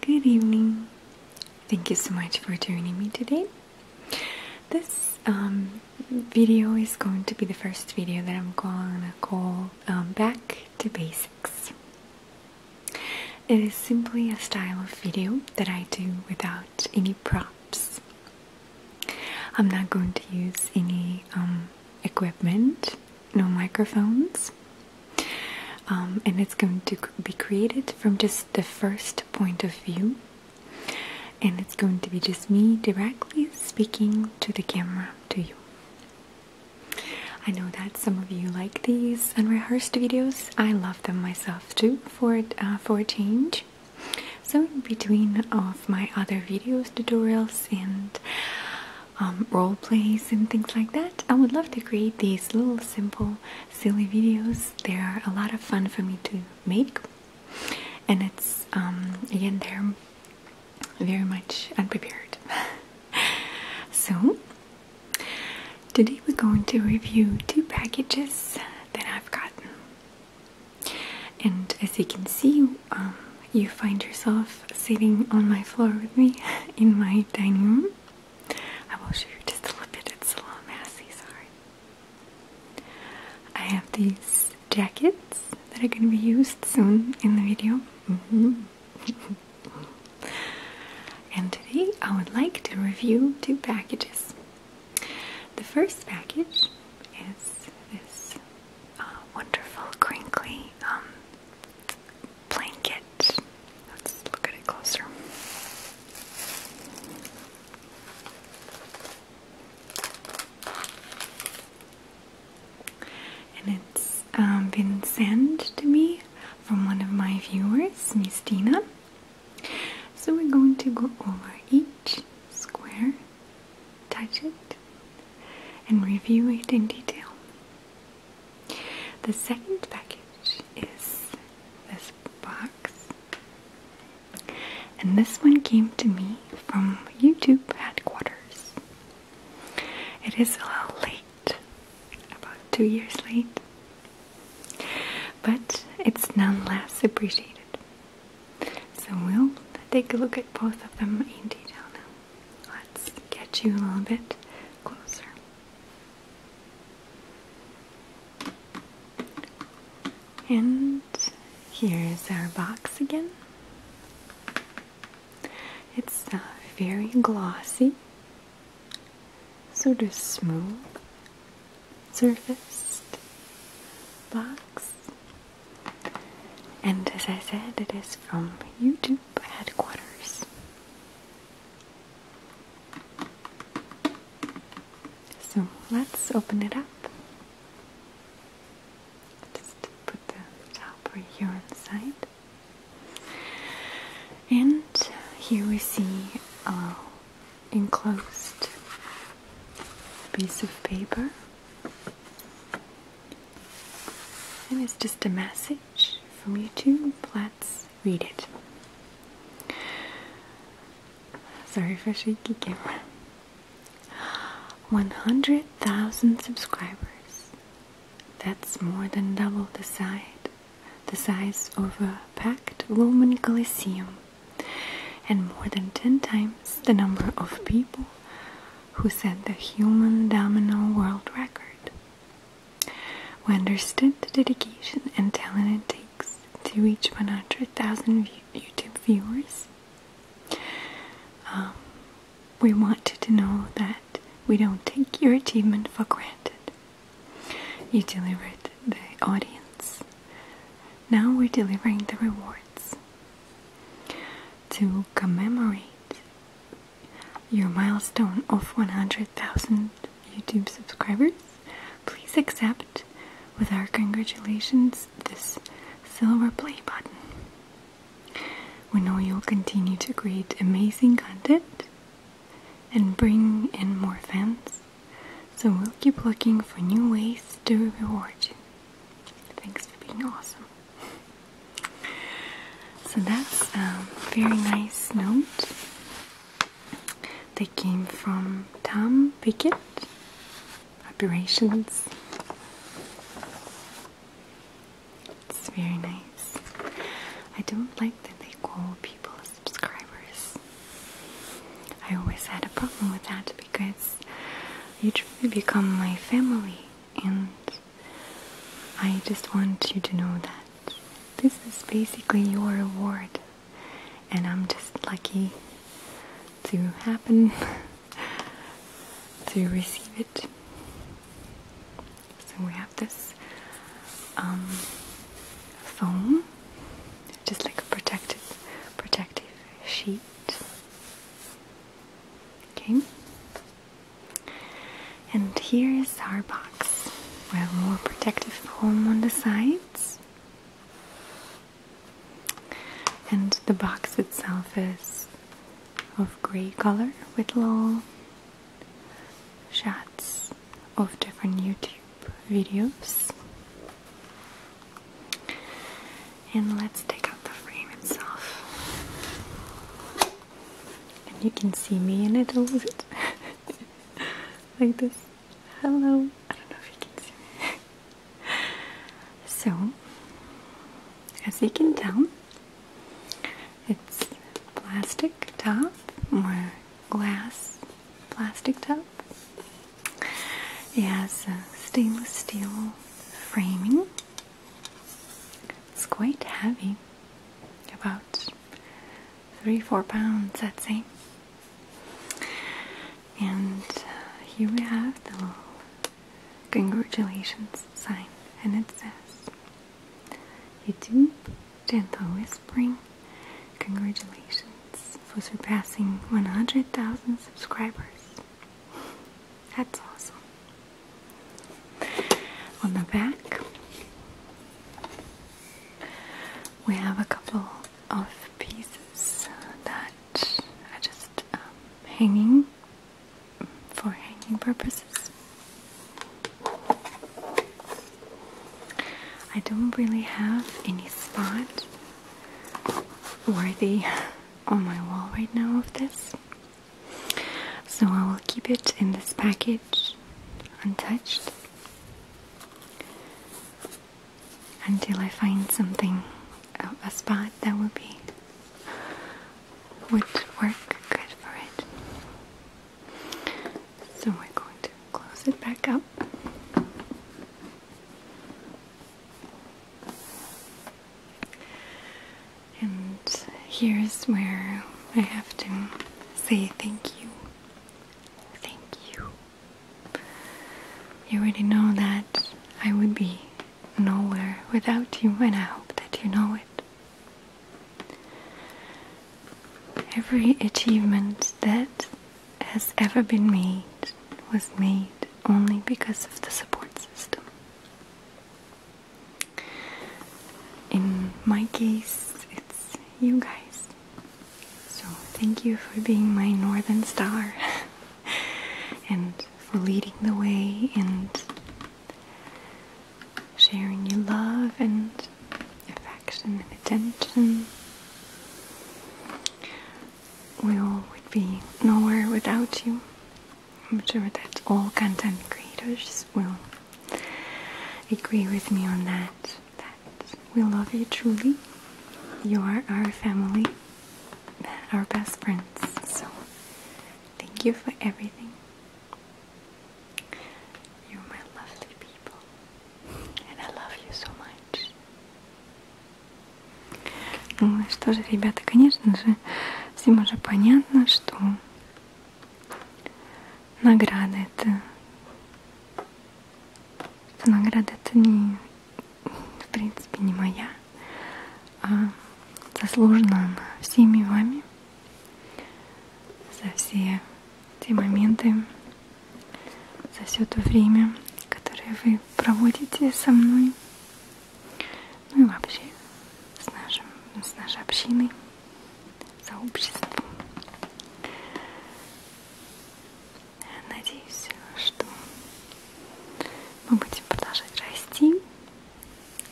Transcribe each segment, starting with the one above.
Good evening. Thank you so much for joining me today. This um, video is going to be the first video that I'm gonna call um, Back to Basics. It is simply a style of video that I do without any props. I'm not going to use any um, equipment no microphones. Um, and it's going to be created from just the first point of view. And it's going to be just me directly speaking to the camera, to you. I know that some of you like these unrehearsed videos. I love them myself too, for uh, for a change. So in between of my other videos, tutorials, and um, role plays and things like that. I would love to create these little simple silly videos. They are a lot of fun for me to make and it's um, again they're very much unprepared. so today we're going to review two packages that I've gotten and as you can see um, you find yourself sitting on my floor with me in my dining room. I will show you just a little bit, of a little messy, sorry. I have these jackets that are going to be used soon in the video. and today I would like to review two packages. The first package is this uh, wonderful crinkly um, blanket. Let's look at it closer. And it's um, been sent to me from one of my viewers, Miss Tina. So we're going to go over each square touch it, and review it in detail. The second package is this box, and this one came to me from YouTube headquarters. It is a little late, about two years late, but it's nonetheless appreciated. So we'll take a look at both of them in detail now. Let's get you a little bit closer. And here's our box again. It's uh, very glossy, sort of smooth surfaced box. And as I said, it is from YouTube headquarters. So let's open it up. Just put the top here on the side. And here we see a enclosed piece of paper and it's just a message from YouTube. Let's read it. Sorry for shaky camera. 100,000 subscribers. That's more than double the size the size of a packed Roman Colosseum and more than 10 times the number of people who set the human domino world record. We understood the dedication and talent it takes to reach 100,000 YouTube viewers. Um, we wanted to know that we don't take your achievement for granted. You delivered the audience. Now we're delivering the rewards to commemorate your milestone of 100,000 YouTube subscribers, please accept with our congratulations this silver play button. We know you'll continue to create amazing content and bring in more fans, so we'll keep looking for new ways to reward you. Thanks for being awesome. So that's a very nice note. They came from Tom Pickett Operations. It's very nice. I don't like that they call people subscribers. I always had a problem with that because you truly become my family, and I just want you to know that this is basically your reward, and I'm just lucky to happen to receive it. So we have this um, foam, just like a protective, protective sheet. Okay? And here is our box. We have more protective foam on the sides. And the box itself is of grey color with little shots of different YouTube videos. And let's take out the frame itself. And you can see me in it a little bit. like this. Hello. I don't know if you can see me. so, as you can tell, it's plastic top or glass plastic top it has a stainless steel framing. It's quite heavy, about three, four pounds, I'd say. And uh, here we have the little congratulations sign, and it says, You do gentle whispering. Congratulations for surpassing 100,000 subscribers. That's awesome. On the back, we have a couple of pieces that are just um, hanging for hanging purposes. I don't really have any spot worthy on my wall right now of this. So I will keep it in this package untouched until I find something, a spot that would be, would work good for it. So we're going to close it back up. And here's where I have to say thank you. Thank you. You already know that I would be nowhere without you, and I hope that you know it. Every achievement that has ever been made was made only because of the support system. In my case, it's you guys. So, thank you for being my northern star and for leading the way and sharing your love and affection and attention we all would be nowhere without you. I'm sure that all content creators will agree with me on that. That we love you truly. You are our family, our best friends. So thank you for everything. You're my lovely people. And I love you so much. Ну что же, ребята, конечно же, всем уже понятно, что награда это... Что награда это не, в принципе, не моя, а заслужена она всеми вами за все те моменты, за все то время, которое вы проводите со мной, ну и вообще с, нашим, ну, с нашей общиной, сообществом. Надеюсь, что мы будем продолжать расти,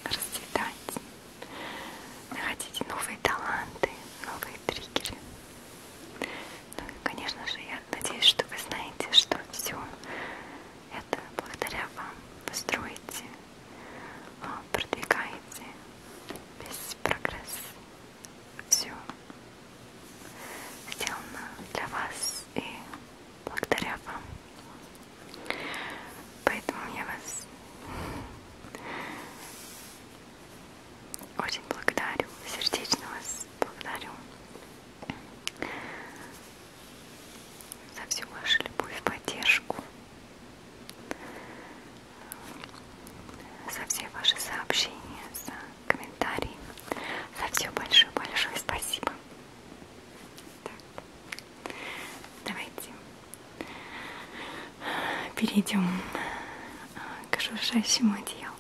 расцветать, находить новые таланты, новые триггеры. Ну и, конечно же, я Надеюсь, что вы знаете, что все это благодаря вам вы строите, а, продвигаете весь прогресс. Все сделано для вас и благодаря вам. Поэтому я вас очень благодарю, сердечно вас благодарю за всю вашу любовь, поддержку, за все ваши сообщения, за комментарии, за все большое-большое спасибо. Так, давайте перейдем э, к шуршащему одеялу.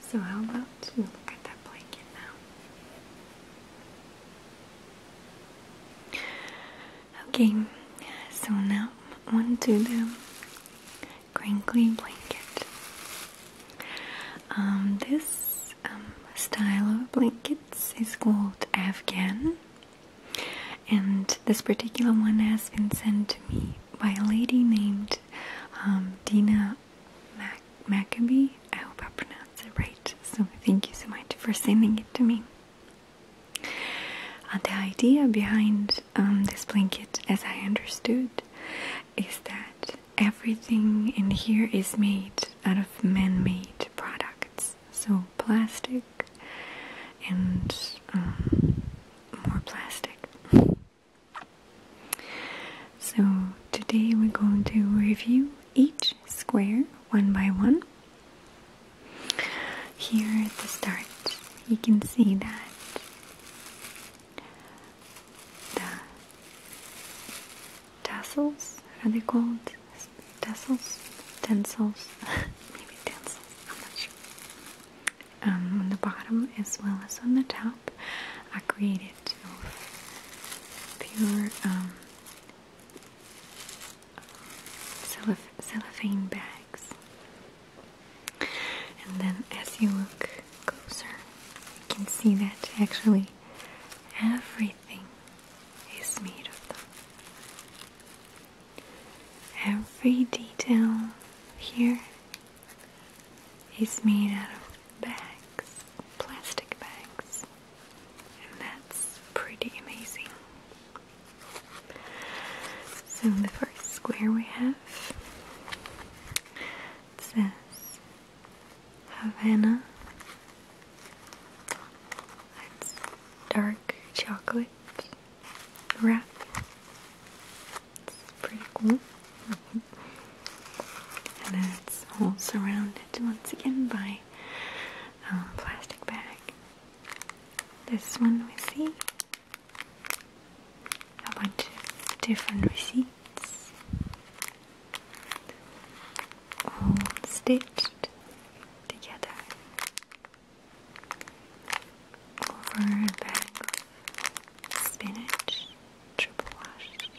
So, how about you look at that blanket now? Okay, so now onto the crinkly blanket. Um, this um, style of blankets is called Afghan, and this particular one has been sent to me by a lady named um, Dina Mac I hope I pronounced it right. So thank you so much for sending it to me. Uh, the idea behind um, this blanket, as I understood, is that everything in here is made out of man-made products. So plastic and um, more plastic. So today we're going to review each square one by one. Here at the start you can see that the tassels, are they called? Tassels? Tensils? Maybe tensils, I'm not sure. Um, on the bottom as well as on the top I created of pure um, cellophane bags. And then as you look closer, you can see that actually everything is made of them. Every detail here is made out of bags, plastic bags, and that's pretty amazing. So, the first square we have it says Havana. It's dark chocolate wrap. It's pretty cool. Mm-hmm. And it's all surrounded once again by um, plastic bag. This one we see a bunch of different receipts, all stitched together over bag spinach, triple washed.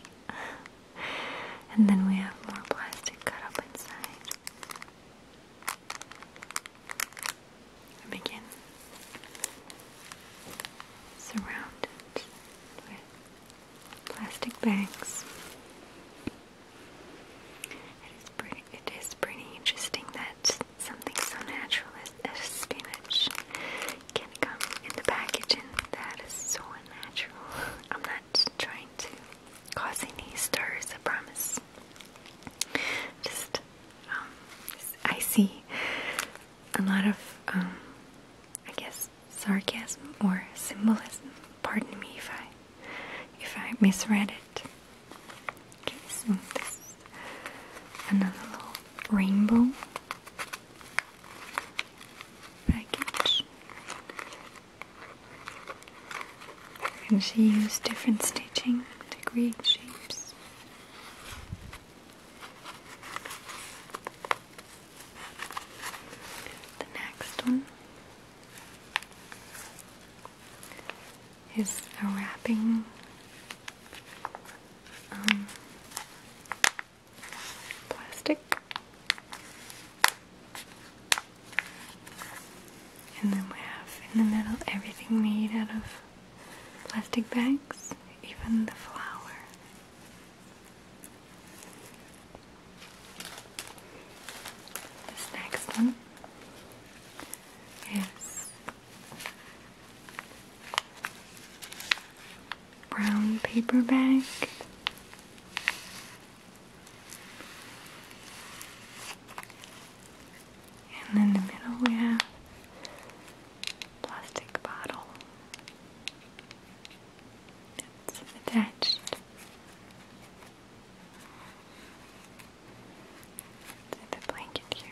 and then we have more plastic cut up inside. begin surrounded with plastic bags. It is pretty interesting that something so natural as, spinach can come in the packaging that is so unnatural. I'm not trying to cause any stirs, I promise. Just, um, I see a lot of, um, I guess, sarcasm or symbolism. Pardon me if I, if I misread it. Okay, so this is another little rainbow package. And she used different stitching to create shapes. The next one is a wrapping um, plastic, and then we have in the middle everything made out of plastic bags, even the flower. This next one Yes. Brown paper bag. And in the middle we have plastic bottle that's attached the blanket here.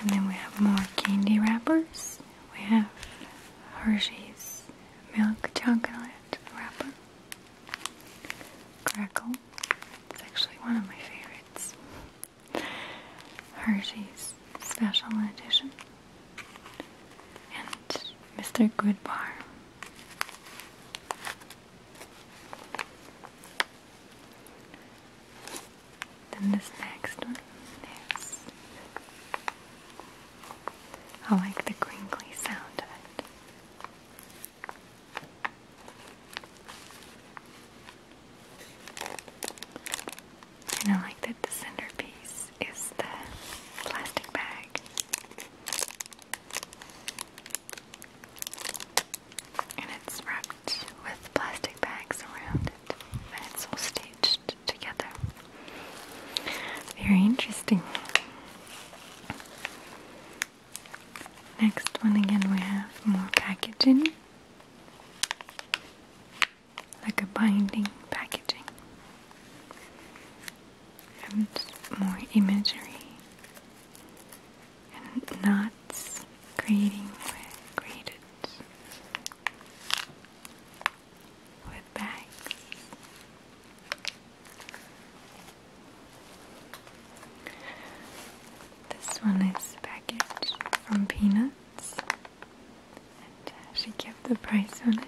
And then we have more candy wrappers. We have Hershey's milk chocolate wrapper. Crackle. It's actually one of my favorites. Hershey's special edition and Mr. Goodbar. Then this next one I like the crinkly sound of it. I like that the centerpiece is the plastic bag. And it's wrapped with plastic bags around it. And it's all stitched together. Very interesting. Next one again we have more packaging like a binding packaging and more imagery and knots created with bags this one is packaged from peanuts minutes. And uh, she kept the price on it.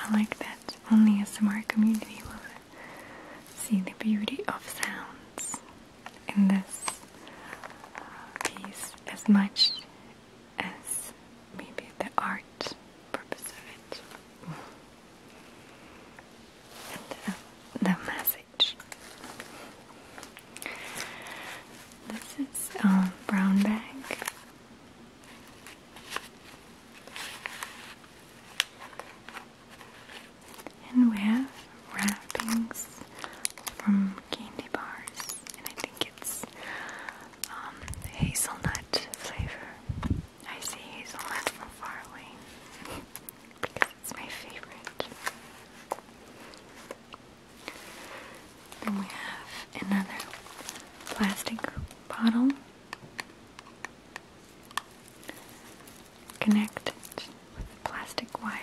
I like that only a smart community will see the beauty of sounds in this uh, piece as much as maybe the art purpose of it and uh, the message. This is um, brown bag. And we have wrappings from candy bars, and I think it's um, hazelnut flavor. I see hazelnut from far away because it's my favorite. Then we have another plastic bottle. Connected with plastic wire.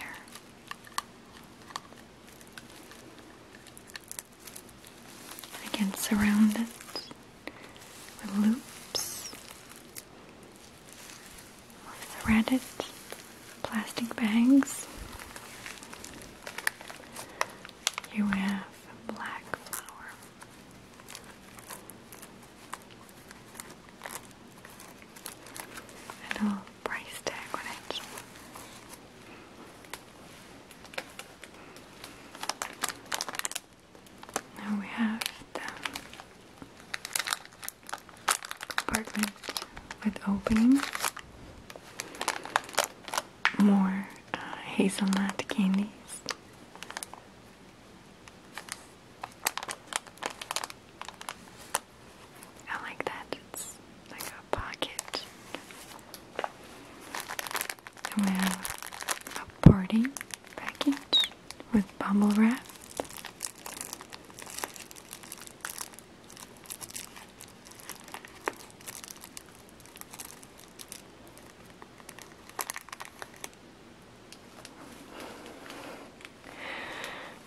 And again, surround it with loops of threaded plastic bags. You have a black flower. And a little price tag on it. Now we have the compartment with opening. More uh, hazelnut candies. I like that. It's like a pocket we have a party package with bubble wrap.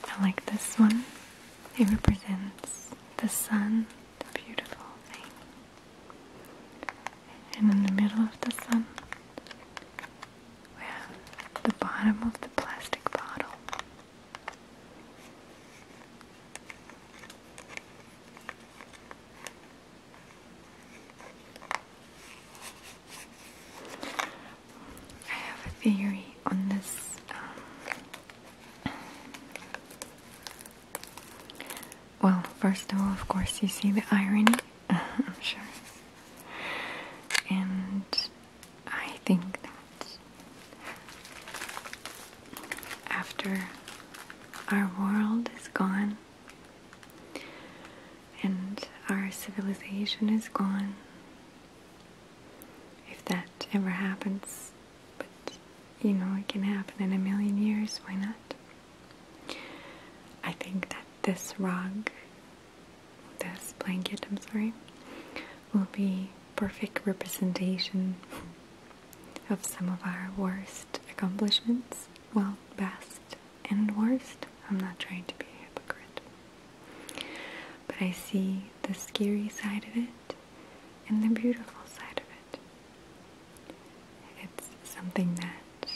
I like this one. It represents the sun, the beautiful thing. And in the middle of the sun, we have the bottom of the plastic bottle. I have a theory on this um, well, first of all, of course, you see the irony, I'm sure. And I think that after our world is gone and our civilization is gone, if that ever happens, but you know, it can happen in a million years, why not? I think that this rug, this blanket, I'm sorry, will be perfect representation of some of our worst accomplishments. Well, best and worst. I'm not trying to be a hypocrite. But I see the scary side of it and the beautiful side of it. It's something that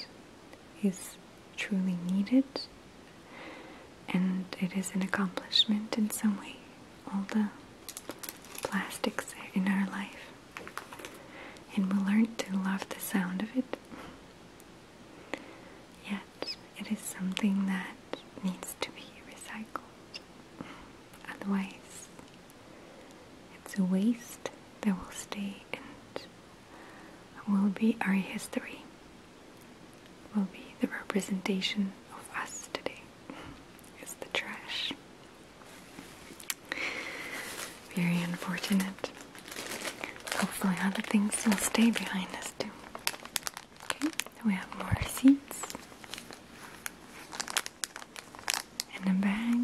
is truly needed, and it is an accomplishment in some way. All the plastics in our life, and we learn to love the sound of it. Yet, it is something that needs to be recycled, otherwise, it's a waste that will stay and will be our history, will be the representation of us today. It's the trash. Very unfortunate. Hopefully other things will stay behind us too. Okay, we have more receipts and a bag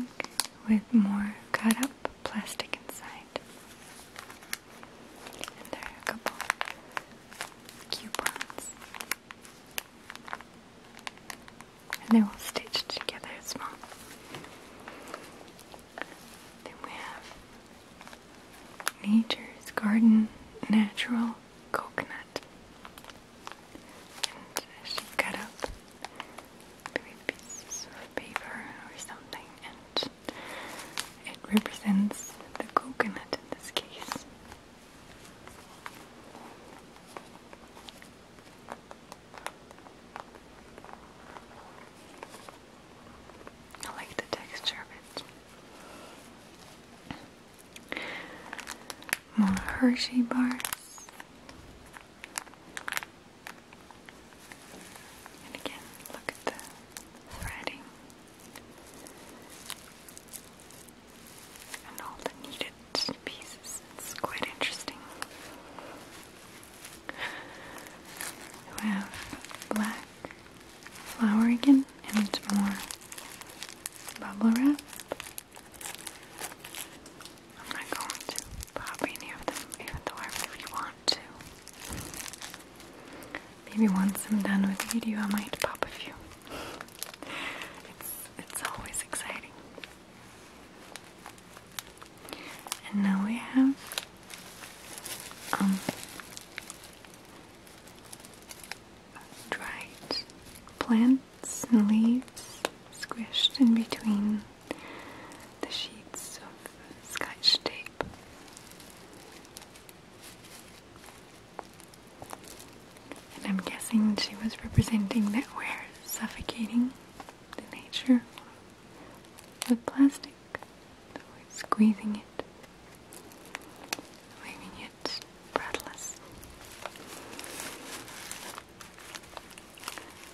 with more cut up plastic inside. And there are a couple coupons. And they're all stitched together as well. Then we have Nature's Garden Natural Coconut and she cut up three pieces of paper or something and it represents the coconut in this case. I like the texture of it more Hershey bars. And again, look at the threading and all the needed pieces. It's quite interesting. We have black flower again and more bubble wrap. I'm not going to pop any of them, even though I really want to. Maybe once I'm done with the video, I might pop a few. It's, it's always exciting. And now we have um, dried plant roots leaves squished in between the sheets of scotch tape. And I'm guessing she was representing that we're suffocating the nature with plastic, squeezing it, leaving it breathless.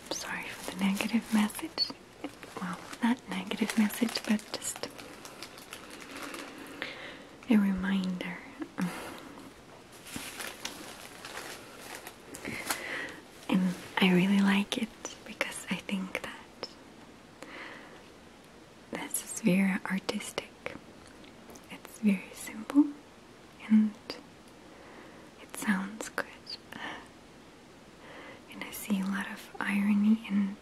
I'm sorry for the negative message. Well, not negative message, but just a reminder. And I really like it because I think that this is very artistic. It's very simple and it sounds good. And I see a lot of irony and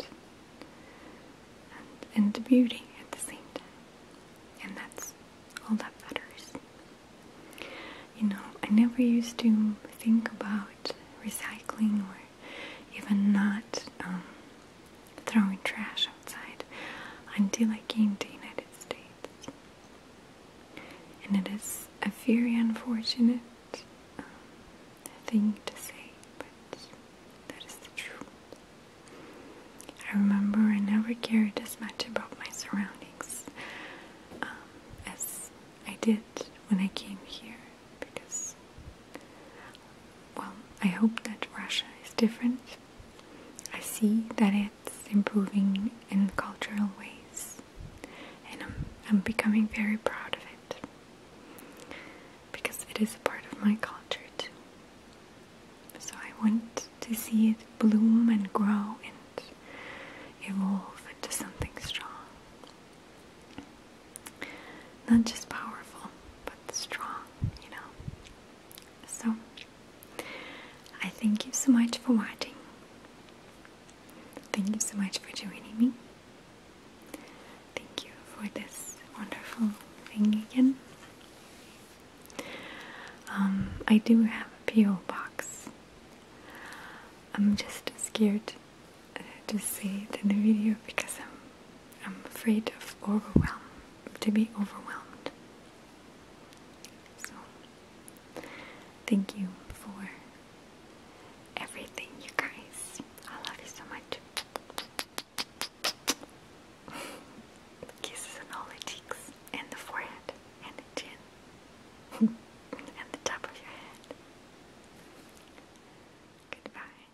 and, and beauty at the same time. And that's all that matters. You know, I never used to think about recycling or even not um, throwing trash outside until I came to the United States. And it is a very unfortunate um, thing to say, but that is the truth. I remember I never cared as much about my surroundings um, as I did when I came here because, well, I hope that Russia is different I see that it's improving in cultural ways, and I'm, I'm becoming very proud of it because it is a part of my culture too. So I want to see it bloom and grow and evolve into something strong. Not just powerful, but strong, you know. So, I thank you so much for watching. Thank you so much for joining me. Thank you for this wonderful thing again. Um, I do have a P.O. box. I'm just scared to say it in the video because I'm I'm afraid of overwhelm, to be overwhelmed. So, thank you for everything, you guys. I love you so much. Kisses on all the cheeks, and the forehead, and chin, and the top of your head. Goodbye.